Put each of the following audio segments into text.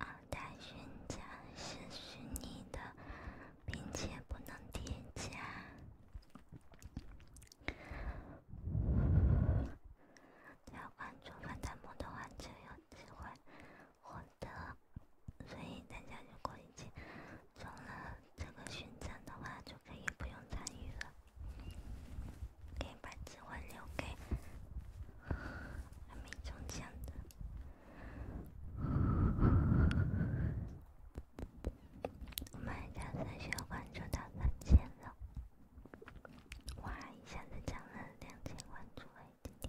二代勋章是虚拟的，并且不能叠加。加关注发弹幕的话就有机会获得，所以大家如果已经中了这个勋章的话，就可以不用参与了，可以把。只会留给还没中奖的。我们家三兄关注到三千了，哇！一下子涨了两千关注而已。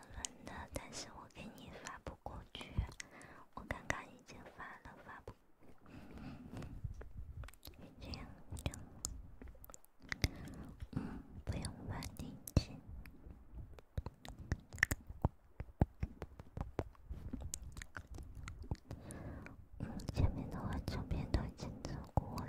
轮的，但是我给你发不过去，我刚刚已经发了，发不。这面的话这边都进错过了。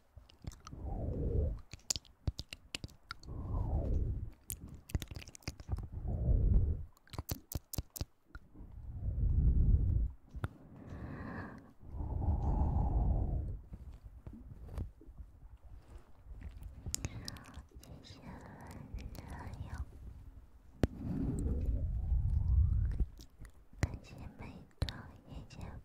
今天很热感觉每张眼睛。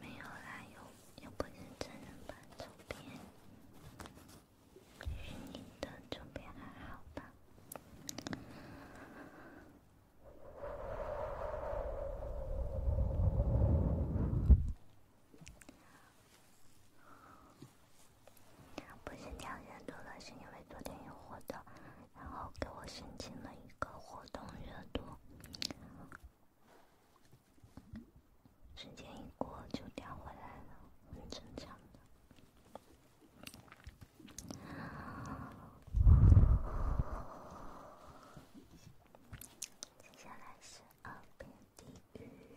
没有啦，又又不是真人拍照片。你的这边还好吧？不是掉热度了，是因为昨天有活动，然后给我申请了一个活动热度，时间一过就掉回来了，很正常的。接下来是二遍低语。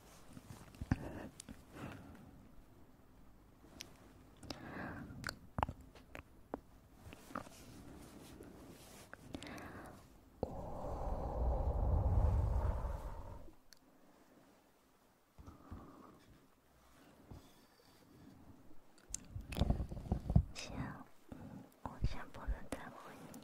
先，我先不能再问你。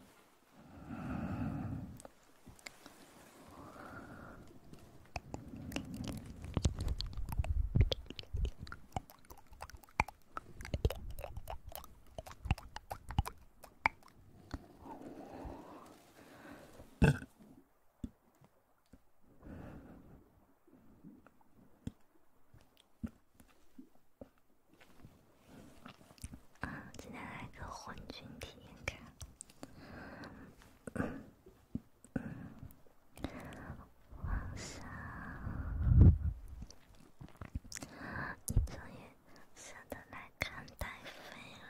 啊，今天来个混菌体验卡。哇塞！你终于舍得来看太妃了，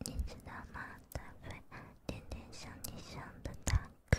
你知道吗？太妃有点像你像的大哥。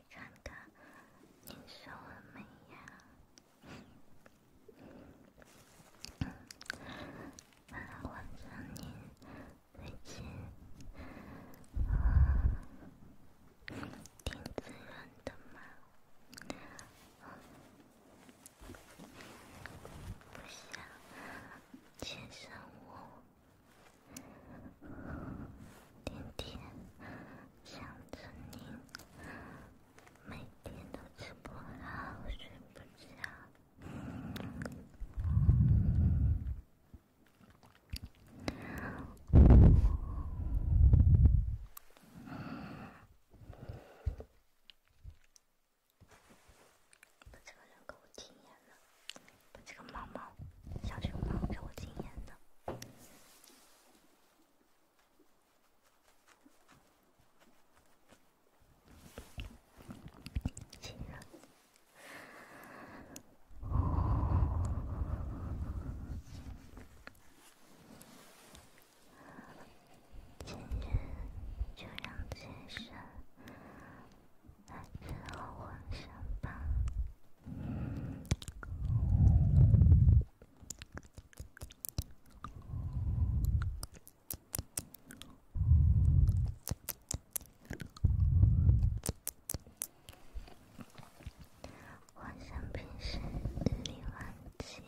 看看，您瘦了没呀？晚上您最近啊，挺滋润的吗？不想亲上我。天天想着你，每天都吃不好，睡不着。把这个人给我禁言了，把这个猫猫，小熊猫给我禁言了。今日就让今日来自后换上吧。我想平时日理万机，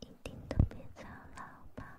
一定都别操劳吧。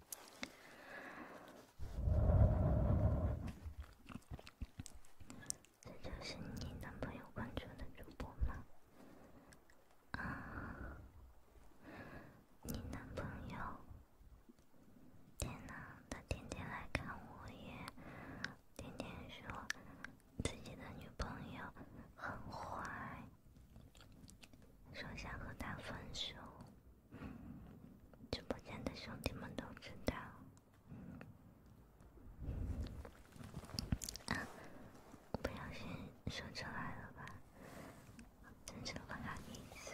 这就是你男朋友关注的主播吗？啊，你男朋友，天呐，他天天来看我，也天天说自己的女朋友很坏，说想和他分手。直播间的兄弟们都知道，啊，不小心说出来了吧？真的不好意思。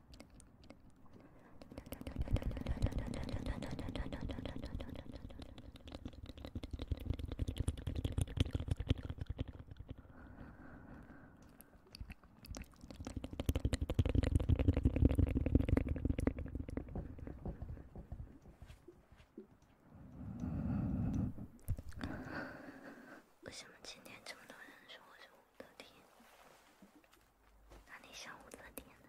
为什么今天这么多人说？我武则天，哪里像武则天呢？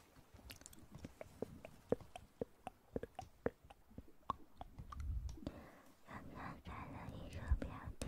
刚刚开了一个标题，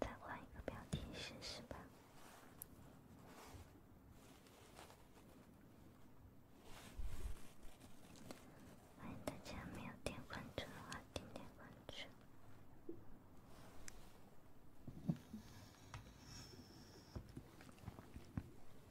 再换一个标题试试吧。欢迎大家没有点关注的话，点点关注。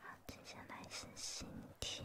好，接下来是心跳。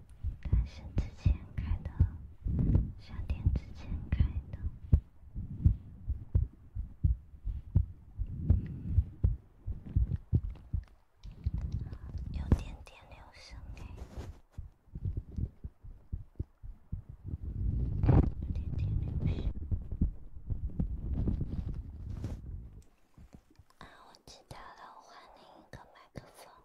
但是之前开的，商店之前开的，有点电流声哎，有点电流声。啊，我知道了，我换另一个麦克风。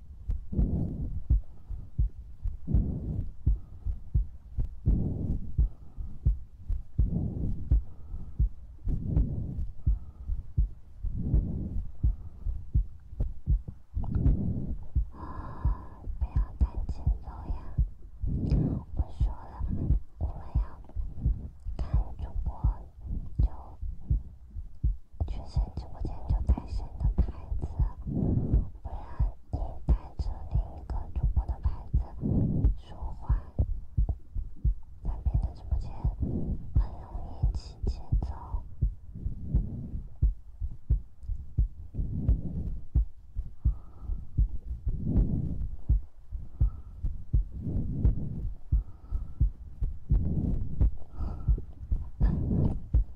不要赶紧走呀！不说了，我们要看主播，就去上直播间，就开始你的牌子，不然。你带着另一个主播的牌子说话，在别的直播间，很容易起节奏。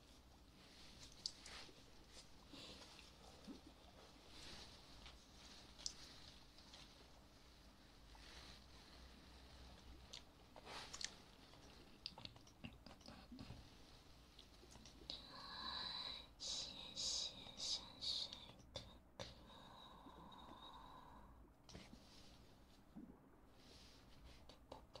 谢谢山水哥哥。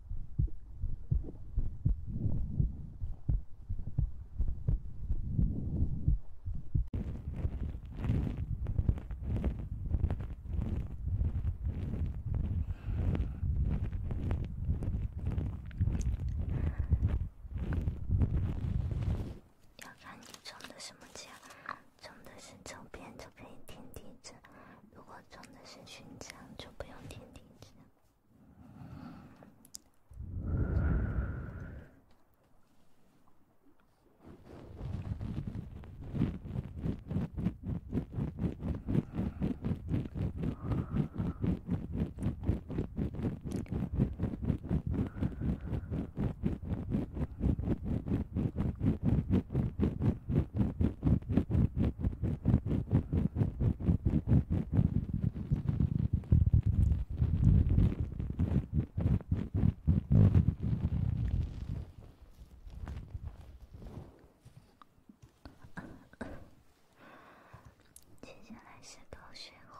要看你中的什么奖，中的是周边就可以听笛子。如果种的是勋章，就不用天天这样。接下来是狗血花。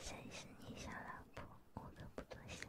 谁是你小老婆？我都不多想。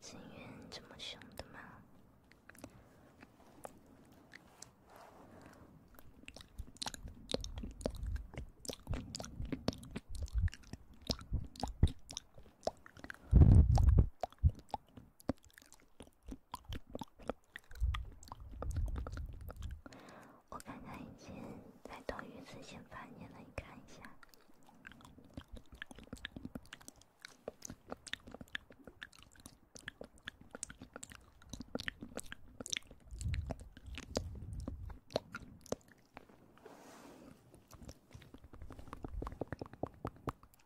景渊这么凶的吗？我看看，已经在斗鱼自行发言了，你看一下。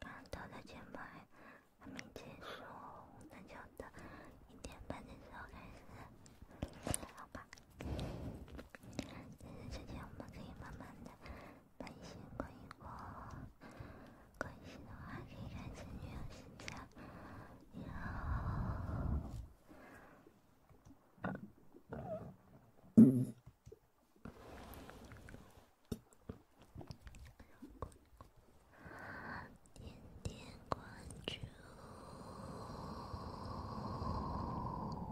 刚到的节目还没结束，那就等一点半的时候开始，好吧。在这期间，我们可以慢慢的关心、关注、关心的话，可以关注女友心情，要天天关注。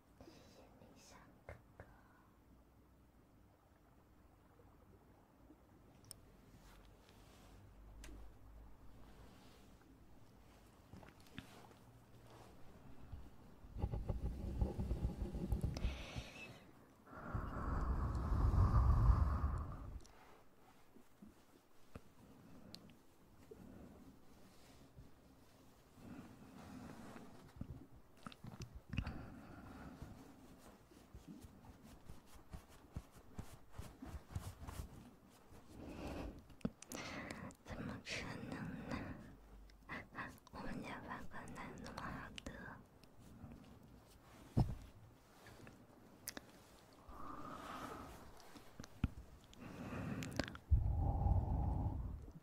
谢谢你，小哥哥。怎么可能呢？我们家爸爸那么好的。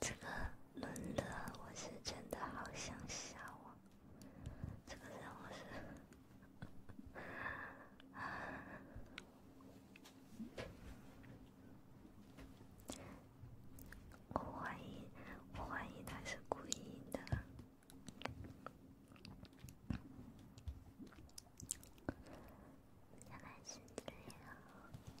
这个轮了，我是真的好想笑啊！这个任务是，我怀疑，我怀疑他是故意的。要耐心对待哦。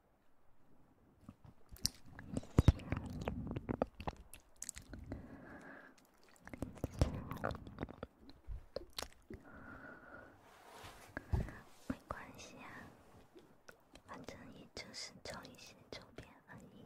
没关系啊，反正也就是做一些周边而已。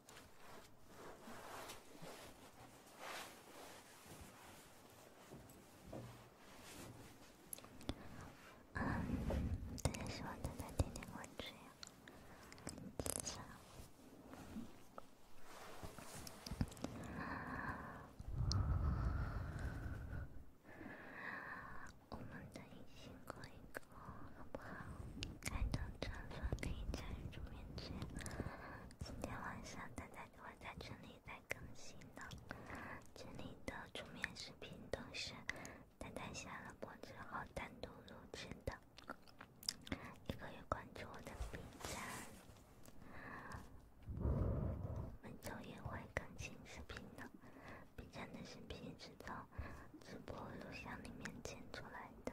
嗯，对，希望能在今天过去呀。好，我们的异性朋友，好不好？看到这里可以加入主面群。今天晚上丹丹就会在这里再更新了。这里的主面视频都是丹丹下了播之后单独录制的。也可以关注我的 B 站，每周也会更新视频的。B 站的视频是从直播录像里面剪出来的。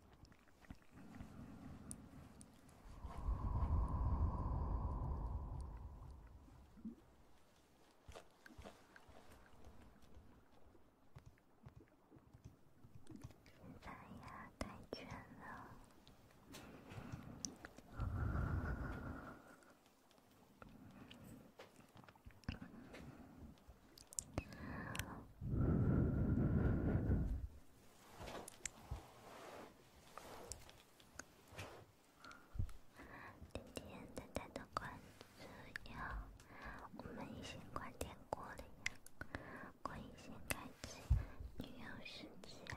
现在呀，太卷了。今天等待的关注，你好，我们已经关电锅了呀，可以先开启旅游时间了。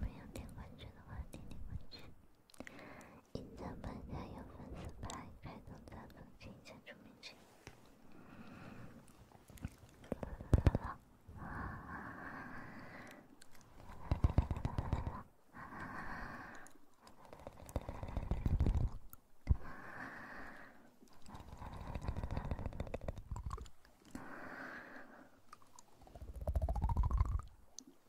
没有点关注的话，点点关注。隐藏玩家有粉丝牌，开通钻粉，请先注明。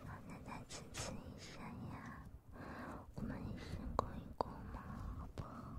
老奶奶支持一下呀，我们一起过一过嘛，好不好？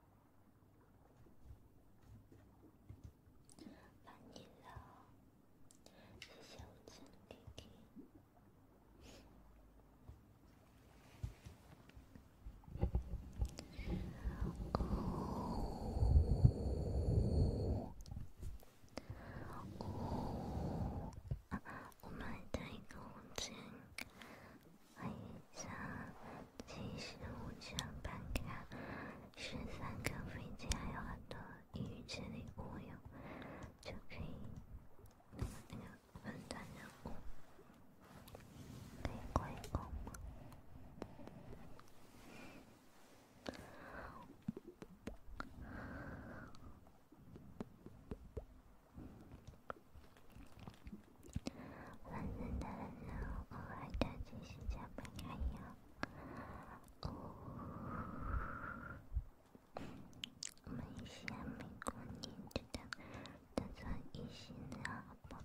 满意了，谢谢红尘 K K。啊，我们还带一个红尘。欢迎上七十五张办卡，十三个飞机，还有很多异域之礼物哟，就可以有分钻，有礼物，还有购物。反正那时候我还当真是没开药，哦，没想没过瘾，觉得打算一试呢，好不好？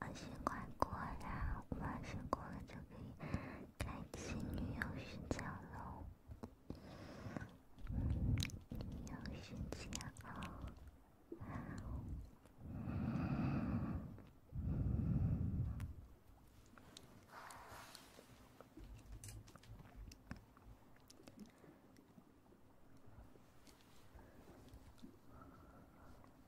二十关过了，二十关过了就可以开启女友勋章了。女友勋章哦。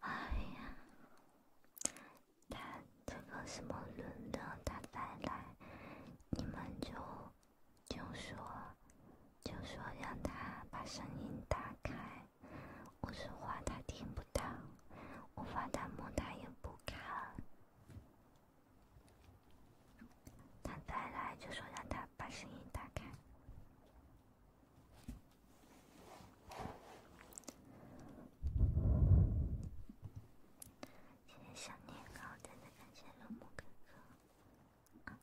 哎呀，他这个什么人呢？他再来，你们就就说就说让他把声音打开。我说话他听不到，我发弹幕他也不看，他再来就说让他把声音打开。谢谢小年糕，真的感谢龙木哥哥。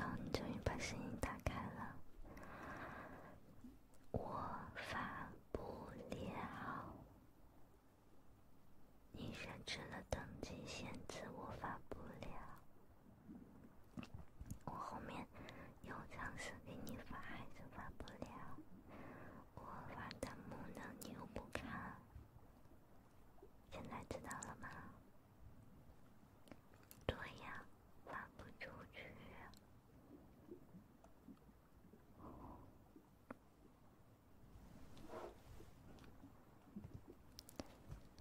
哦，终于把声音打开了。我发不了，你设置了等级限制，我发不了。我后面又尝试给你发，还是发不了。我发弹幕呢，你又不看。现在知道了吗？对呀，发不出去。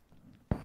男女有性交流。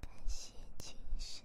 感谢青山。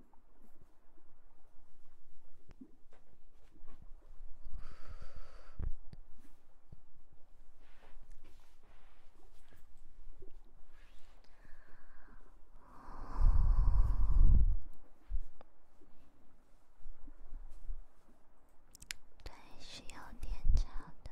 对，是有点吵的。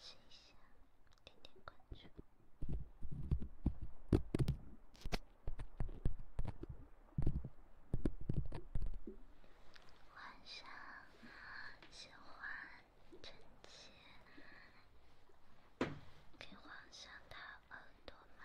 试一下，点点关注。皇上喜欢给皇上掏耳朵吗？